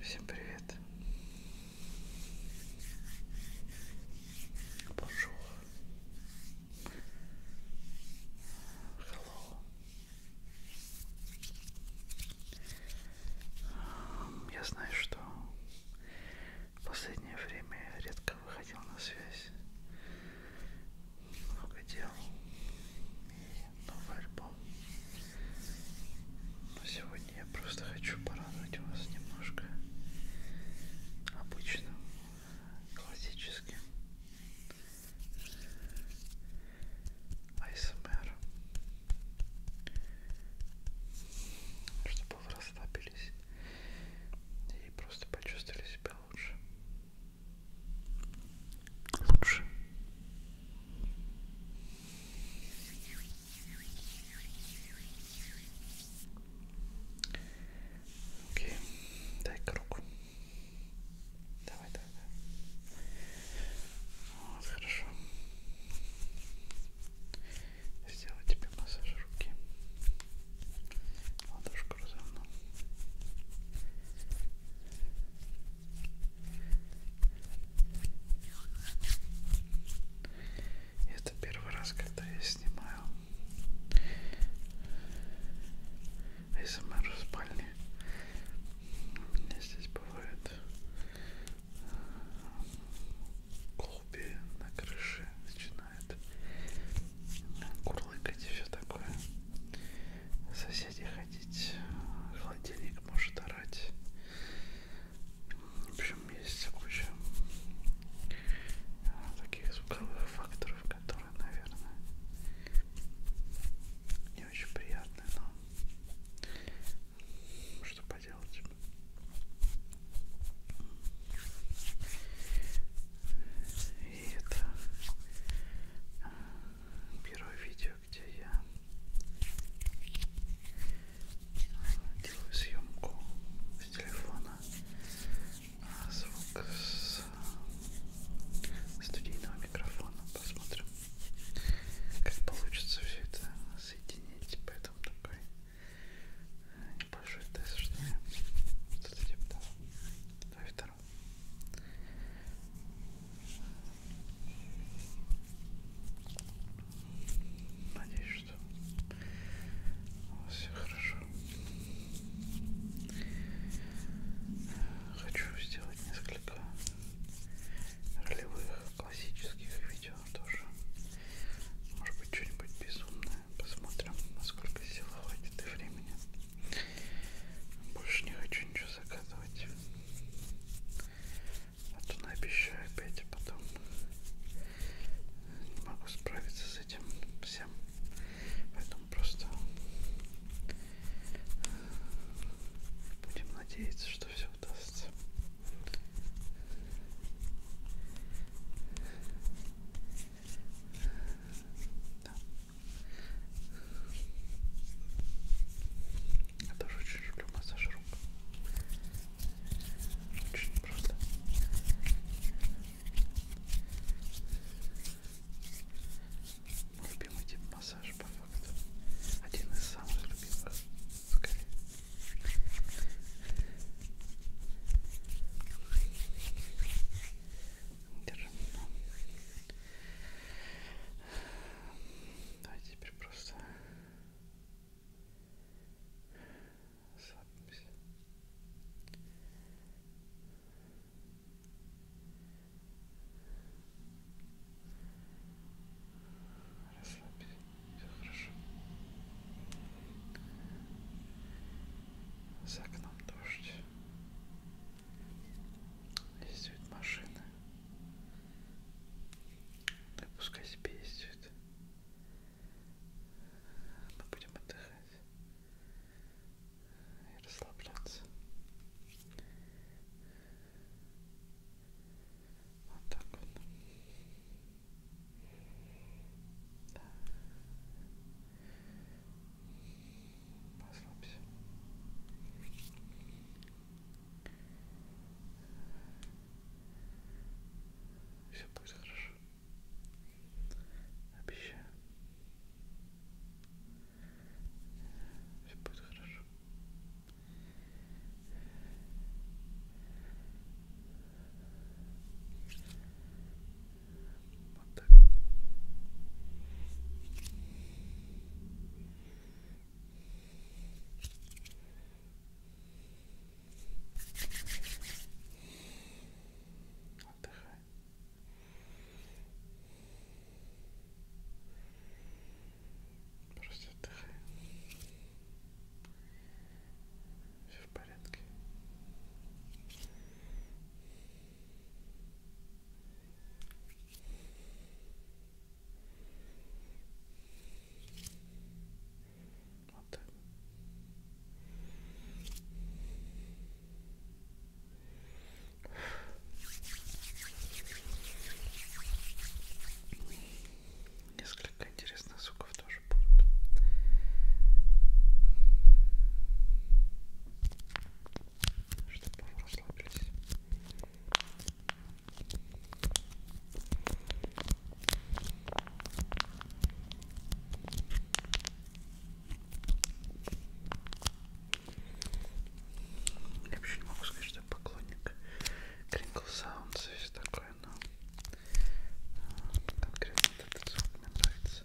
Всем привет. Bonjour. Hello. Эм, я знаю, что в последнее время я редко выходил на связь, много дел, и новый альбом. Но сегодня я просто хочу порадовать вас немножко обычным, классическим АСМР. Эм Чтобы вы расслабились и просто почувствовали себя лучше лучше. Окей, дай круг. Давай, давай, давай. Вот, хорошо. Сделаю тебе массаж руки. Ладошку разомну. Это первый раз, когда я снимаю СМР эм в спальне. У меня здесь бывает голуби э, на крыше начинают курлыкать и все такое соседи ходить, холодильник может орать. В общем, есть куча таких звуковых факторов, которые, наверное, не очень приятны, но что поделать. И это первое видео, где я делаю съемку с телефона, а звук с э, студийного микрофона. Посмотрим, как получится все это соединить. Поэтому такой э, небольшой тест, что я что-то типа того. Давай второй. Надеюсь, что у вас все хорошо. Хочу сделать несколько ролевых классических видео тоже. Может быть, что-нибудь безумное. Посмотрим, насколько сил хватит и времени. Больше не хочу ничего загадывать. А то наобещаю опять, а потом не могу справиться с этим всем. Поэтому просто э, будем надеяться, что все удастся. Да. Я тоже очень люблю массаж рук. Очень просто. Любимый тип массажа по факту. Один из самых любимых. Скорее. Держим. Давайте теперь просто садимся. Расслабься, все хорошо. За окном дождь ездит машина. Да пускай себе ездит. Мы будем отдыхать и расслабляться. Вот так вот. Да. Послабься. Все будет хорошо. Обещаю. Все будет хорошо. Вот так. Отдыхай. Просто отдыхай. Все в порядке. Вот так. Несколько интересных звуков тоже будут чтобы вы расслабились. Я вообще не могу сказать, что я поклонник Crinkle Sounds и все такое, но э, конкретно этот звук мне нравится.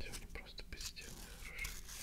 Сегодня просто бездельно хорошо.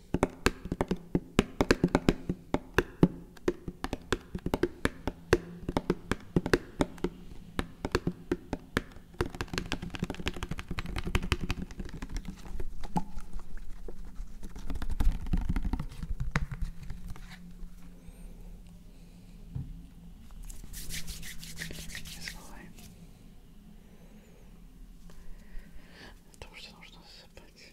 Потому что нужно засыпать.